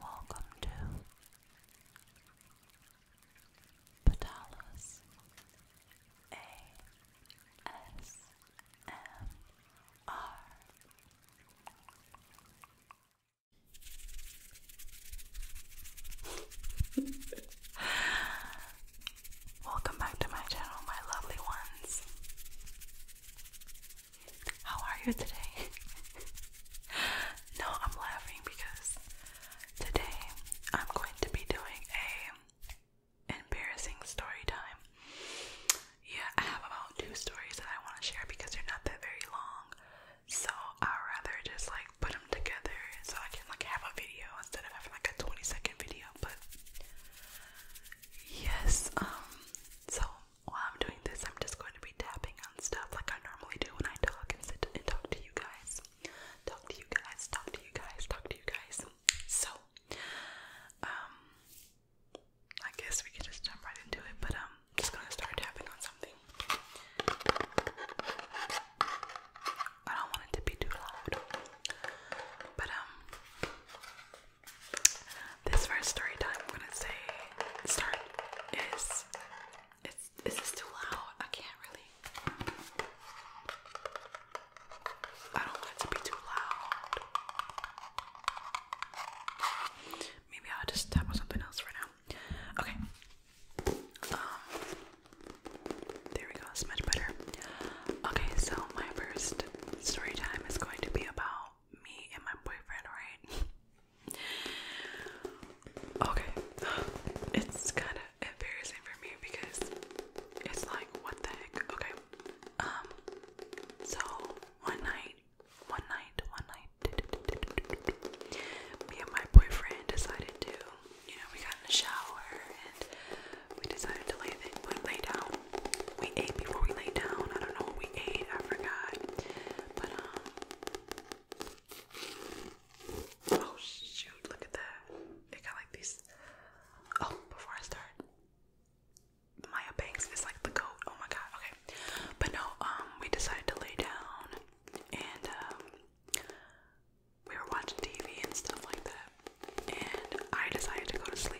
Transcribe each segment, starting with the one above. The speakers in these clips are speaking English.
Welcome to Patalas ASMR. Welcome back to my channel, my lovely ones. How are you today? no, I'm laughing because today I'm going to be doing a embarrassing story time. Yeah, I have about two stories that I want to share because they're not that very long. So i rather just like put them together so I can like have a video instead of having like a 20 second video. But yes, um, so while I'm doing this, I'm just going to be tapping on stuff like I normally do when I talk and sit and talk to you guys. Talk to you guys, talk to you guys, talk to you guys. So, um, I guess we can just jump right into it, but um, I'm just gonna start tapping on something. I don't want it to be too loud, but um, this first story time I'm gonna say start is it's is too loud? I can't really I don't want it to be too loud. Maybe I'll just tap on something else for now. Okay. Um there we go, much better. Okay, so my first story time is going to be about me and my boyfriend, right? okay. It's kind of embarrassing for me because it's like, what the heck? Okay. Um, so one night, one night, one night, me and my boyfriend decided to, you know, we got in the shower and we decided to lay, the, lay down we ate before we laid down. I don't know what we ate, I forgot. But, um, oh shoot, look at that. It got like these. Oh, before I start, Maya Banks is like the goat. Oh my god, okay. But no, um, we decided to lay down and, um, we were watching TV and stuff like that, and I decided to go to sleep.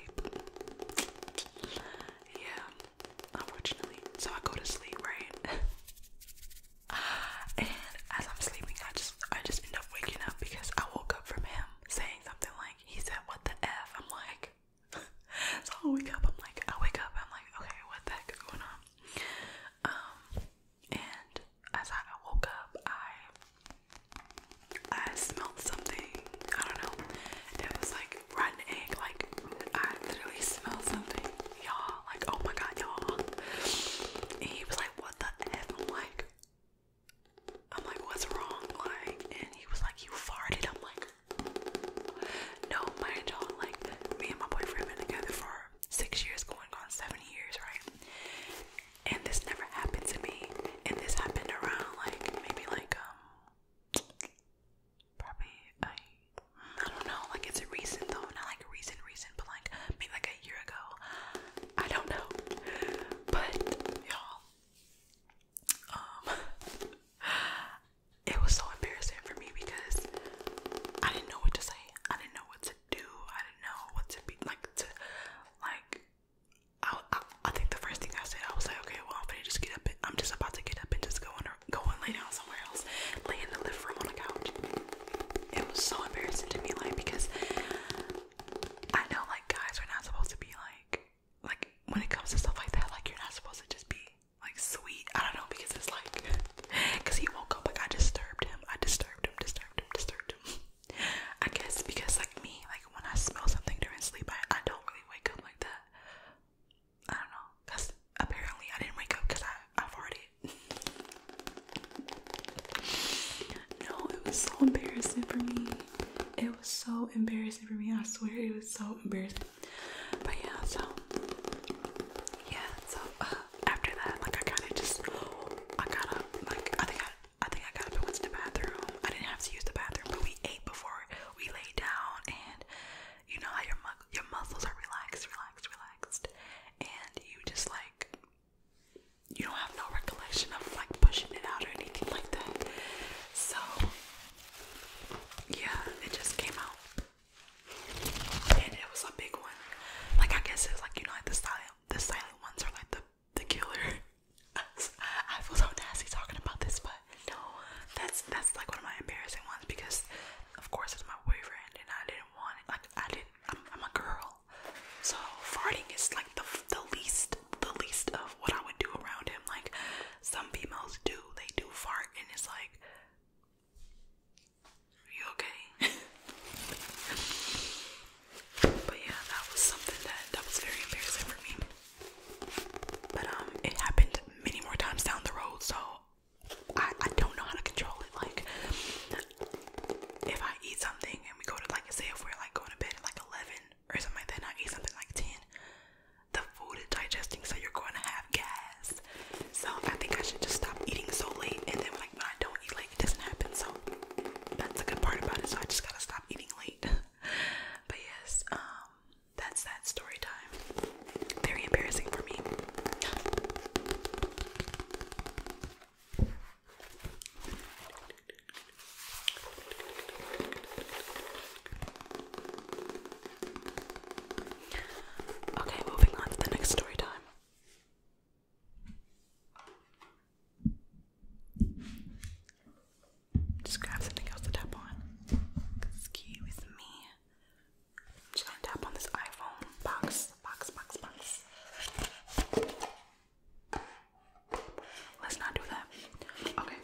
Yeah, unfortunately. So I go to sleep, right? and as I'm sleeping, I just I just end up waking up because I woke up from him saying something like he said, "What the f?" I'm like, so I wake up. I'm like, I wake up. I'm like, okay, what the heck is going on? Um, and as I woke up, I I smelled something. I don't know. and It was like rotten egg. Like I literally smelled something, y'all. Like oh my god, y'all. he was like, what the f? like, I'm like, what's wrong? Like, and he was like, farted. I'm like, no, mind you Like me and my boyfriend been together for six years, going on seven years, right? And this never happened to me. And this happened around like maybe like um probably I I don't know, like it's recent though, not like recent recent, but like maybe like a year ago. I don't know. But y'all um it was so embarrassing for me because I didn't know what to say. I didn't know what to do. I didn't know what to be like to like I, I, think the first thing I said, I was like, okay, well, I'm gonna just get up. I'm just about to get up and just go and go and lay down somewhere else, lay in the living room on the couch. It was so embarrassing to me, like because I know like guys are not supposed to be like like when it comes to stuff like that, like you're not supposed to just be like sweet. I don't know because it's like because he woke up like I disturbed him, I disturbed him, disturbed him, disturbed him. I guess because like me, like when I smell something during sleep, I, I don't really wake up like that. I don't know. Cause apparently I didn't wake up because I I farted. no, it was so embarrassing for me. It was so embarrassing for me. I swear it was so embarrassing. But yeah, so yeah, so uh, after that, like I kind of just I got up. Like I think I think I got up and went to the bathroom. I didn't have to use the bathroom, but we ate before we laid down, and you know how your mu your muscles are relaxed, relaxed, relaxed, and you just like you don't have no recollection of like pushing it out or anything like that. So yeah, it just came out, and it was a big one. Like I guess it's like you know like the silent the silent ones are like the the killer. I feel so nasty talking about this, but no, that's that's like one of my embarrassing ones because, of course, it's my boyfriend, and I didn't want it. Like I didn't. I'm, a girl, so farting is like the the least the least of what I would do around him. Like some females do, they do fart, and it's like, Are you okay? but yeah, that was something that that was very embarrassing for me. But um, it happened many more times down the road, so I, I don't know how to control it. Like, if I eat something and we go to like, say, if we're like going to bed at like eleven or something like that, I eat something like ten, the food is digesting, so you're going to have gas. So I think I should just stop eating so late, and then like when don't eat late, it doesn't happen. So that's the good part about it. So I just gotta stop eating late. but yes, um, that's that story time. Very embarrassing for me. Okay, moving on to the next story time. Just grab something else to tap on. Ski with me. just gonna tap on this iPhone box, box, box, box. Let's not do that. Okay.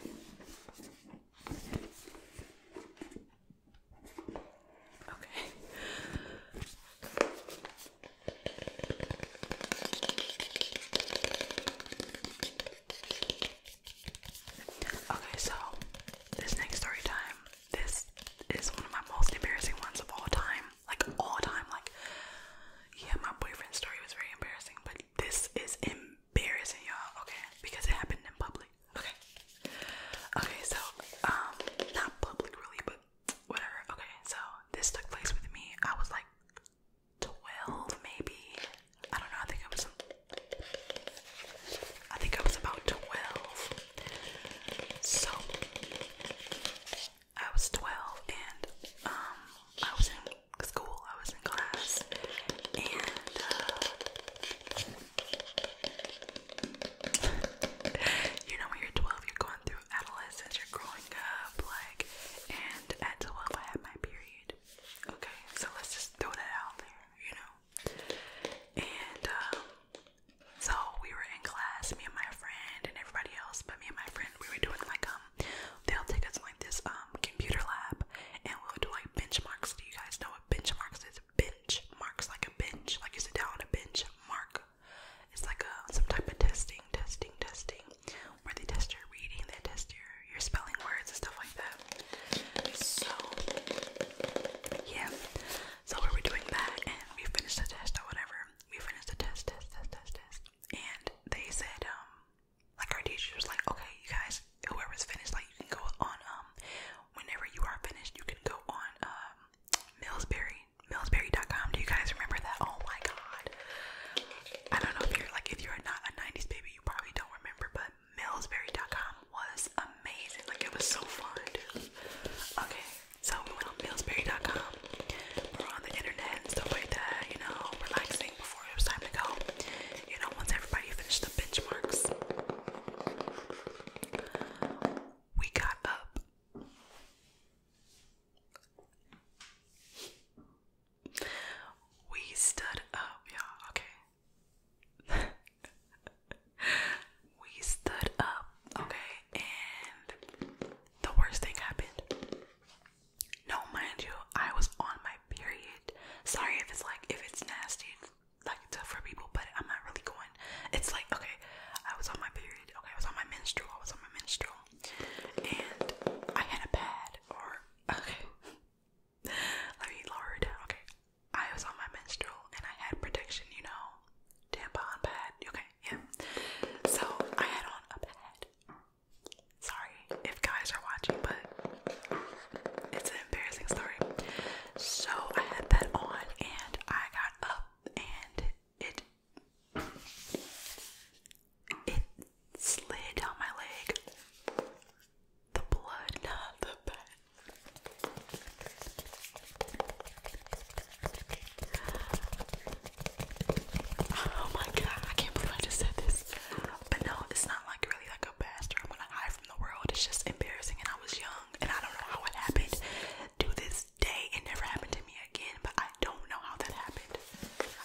Okay. Okay, so this next story time, this is one of my most embarrassing ones of all time. Like all time. Like yeah, my boyfriend's story was very embarrassing, but this is embarrassing, y'all, okay? Because it happened in public. Okay. Okay, so um not public really, but whatever. Okay, so this took place with me. I was like 12 maybe. I don't know. I think I was I think I was about 12. So I was 12 and um I was in school. I was in class and uh, you know when you're 12 you're going through adolescence, you're growing up like and and until if I have my period. Okay, so let's just throw that out there, you know. And um, so we were in class, me and my friend and everybody else, but me and my friend, we were doing like um, they'll take us to, like this um computer lab, and we'll do like benchmarks. Do you guys know what benchmarks is? Bench like a bench, like you sit down on a bench. Mark, it's like a uh, some type of testing, testing, testing where they test your reading, they test your your spelling words and stuff like that. So yeah, so we were doing that, and we finished the test or whatever. We finished the test, test, test, test, test, and they said, um, like our teacher was like, okay, you guys, whoever's finished, like you can go on, um, whenever you are finished, you can go on, um, Millsberry, com. Do you guys remember that? Oh my God. I don't know if you're like if you're not a 90s baby, you probably don't remember, but Millsberry.com was amazing. Like it was so fun. Okay, so we went on Millsberry.com. We're on the internet and stuff like that, you know, relaxing before it was time to go. You know, once everybody finished the benchmarks, we got up. We stood up, y'all. Okay. we stood up, okay, and the worst thing happened. No, mind you, I was on my period. Sorry if it's like if it's nasty, like tough for people, but I'm not really going. It's like okay, I was on my period. Okay, I was on my menstrual. I was on my menstrual and I had a pad or okay. Let me lower Okay. I was on my menstrual and I had protection, you know. Tampon pad. Okay, yeah. So I had on a pad. Sorry if guys are watching, but it's an embarrassing story. So I had that on and I got up and it it slid down my leg. The blood, the Oh my god, I can't believe I just said this. But no, it's not like really like a bastard. I'm gonna hide from the world. It's just embarrassing and I was young and I don't know how it happened to this day. It never happened to me again, but I don't know how that happened.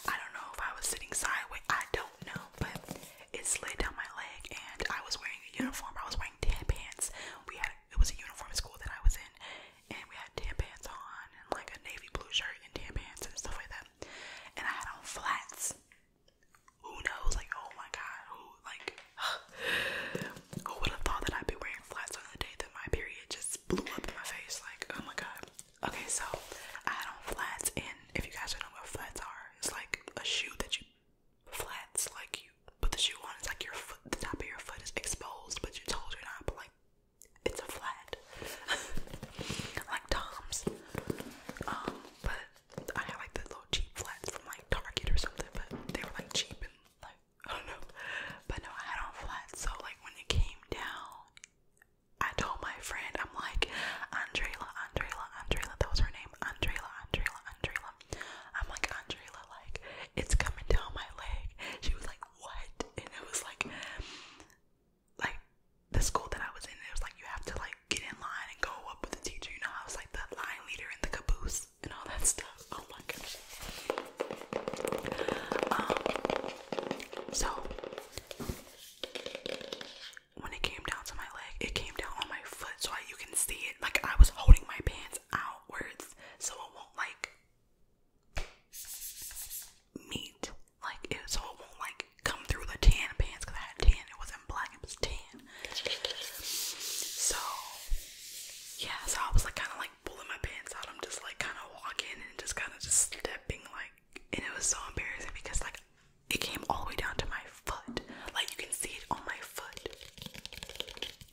I don't know if I was sitting sideways, I don't know, but it slid down my leg and I was wearing a uniform. I was wearing tan pants. We had it was a uniform school that I was in and we had tan pants on and like a navy blue shirt and tan pants and stuff like that. And I had on flats. Who knows? Like, oh my god, who like who would have thought that I'd be wearing flats on the day that my period just blew up in my face? Like, oh my god. Okay, so I had on flats, and if you guys don't know what flats are, it's like a shoe that you flats, like you put the shoe on. It's like your foot, the top of your foot is exposed, but your toes are not. But like, it's a flat, like Tom's. Um, but I had like the little cheap flats from like Target or something, but they were like cheap and like I don't know. But no, I had on flats, so like when it came down, I told my friend, I'm like, Andrela, Andrela, Andrela, that was her name, Andrela, Andrela, Andrela. I'm like, Andrela, like, it's coming down my leg. She was like, what? And it was like, like, the school that I was in, it was like, you have to, like, get in line and go up with the teacher, you know? I was like the line leader in the caboose and all that stuff. Oh my gosh. Um, so when it came down to my leg, it came down on my foot, so I, you can see it. Like I was holding my pants outwards, so it won't like meet, like so it won't like come through the tan pants because I had tan. It wasn't black; it was tan. So yeah, so I was like kind of like pulling my pants out. I'm just like kind of walking and just kind of just stepping like, and it was so embarrassing because like it came all the way down to my foot. Like you can see it on my foot.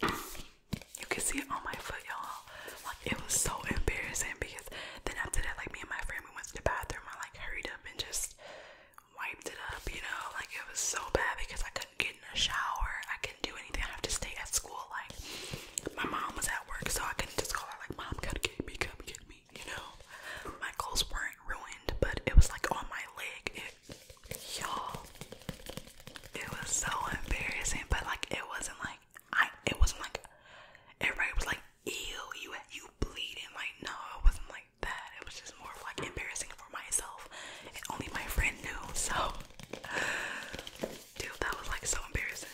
You can see it on my foot, y'all. Like it was so embarrassing because then after that, like me and my friend we went to the bathroom. I like hurried up and just wiped it up, you know. Like it was so bad because I couldn't get in a shower. I couldn't do anything. I have to stay at school. Like my mom was at work, so I couldn't just call her like, "Mom, gotta get me, come get me." You know, my clothes weren't ruined, but it was like on my leg. It, y'all, it was so embarrassing. But like, it wasn't like I. It wasn't like everybody was like, "Ew, you you bleeding." Like, no, it wasn't like that. It was just more of like embarrassing for myself, and only my friend knew. So. Dude, that was like so embarrassing.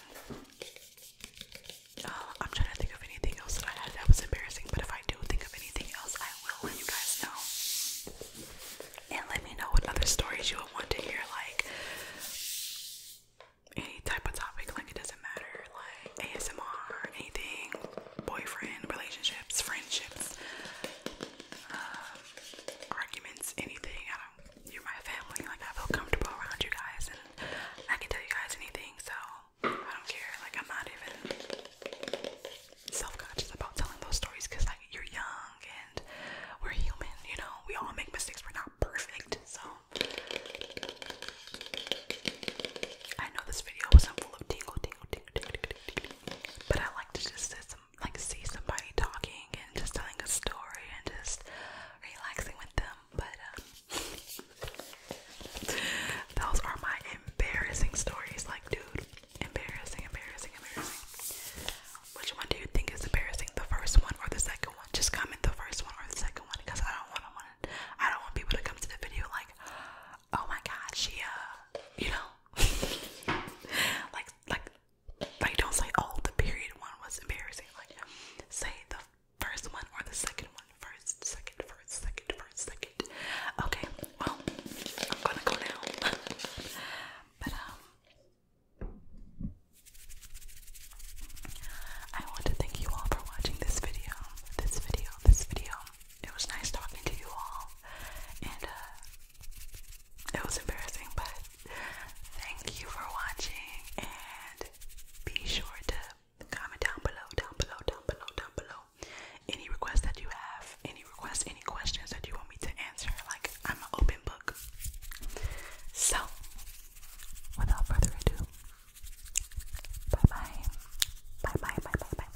Uh, I'm trying to think of anything else that I had that was embarrassing, but if I do think of anything else, I will let you guys know. And let me know what other stories you would want to hear, like any type of topic, like it doesn't matter, like ASMR, anything, boyfriend, relationships, friendships, uh, arguments, anything. I don't you're my family. Like I feel comfortable around you guys, and I can tell you guys anything. So I don't care. Like I'm not even self-conscious about telling those stories because like you're young and we're human. You know, we all make mistakes. We're not perfect. So I know this video was full of tingle, tingle, tingle, tingle, tingle, tingle, but I like to just set some like see somebody talking and just telling a story and just relaxing with them. But um, those are my embarrassing stories. Like, dude, embarrassing, embarrassing, embarrassing. Which one do you think is embarrassing? The first one or the second one? Just comment the first one or the second one because I don't want to want I don't want people to come to the video like, oh my god, she uh, you know, like like like don't say oh the period one was embarrassing. Like say the first one or the second one. First, second, first, second, first, second. Okay, well I'm gonna go now. but um I want to thank you all for watching this video. This video, this video. It was nice talking to you all. And uh it was embarrassing, but thank you for watching and be sure to comment down below, down below, down below, down below any requests that you have, any requests, any questions that you want me to answer. Like, I'm an open book. So, without further ado, bye bye. Bye bye, bye bye, bye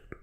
bye.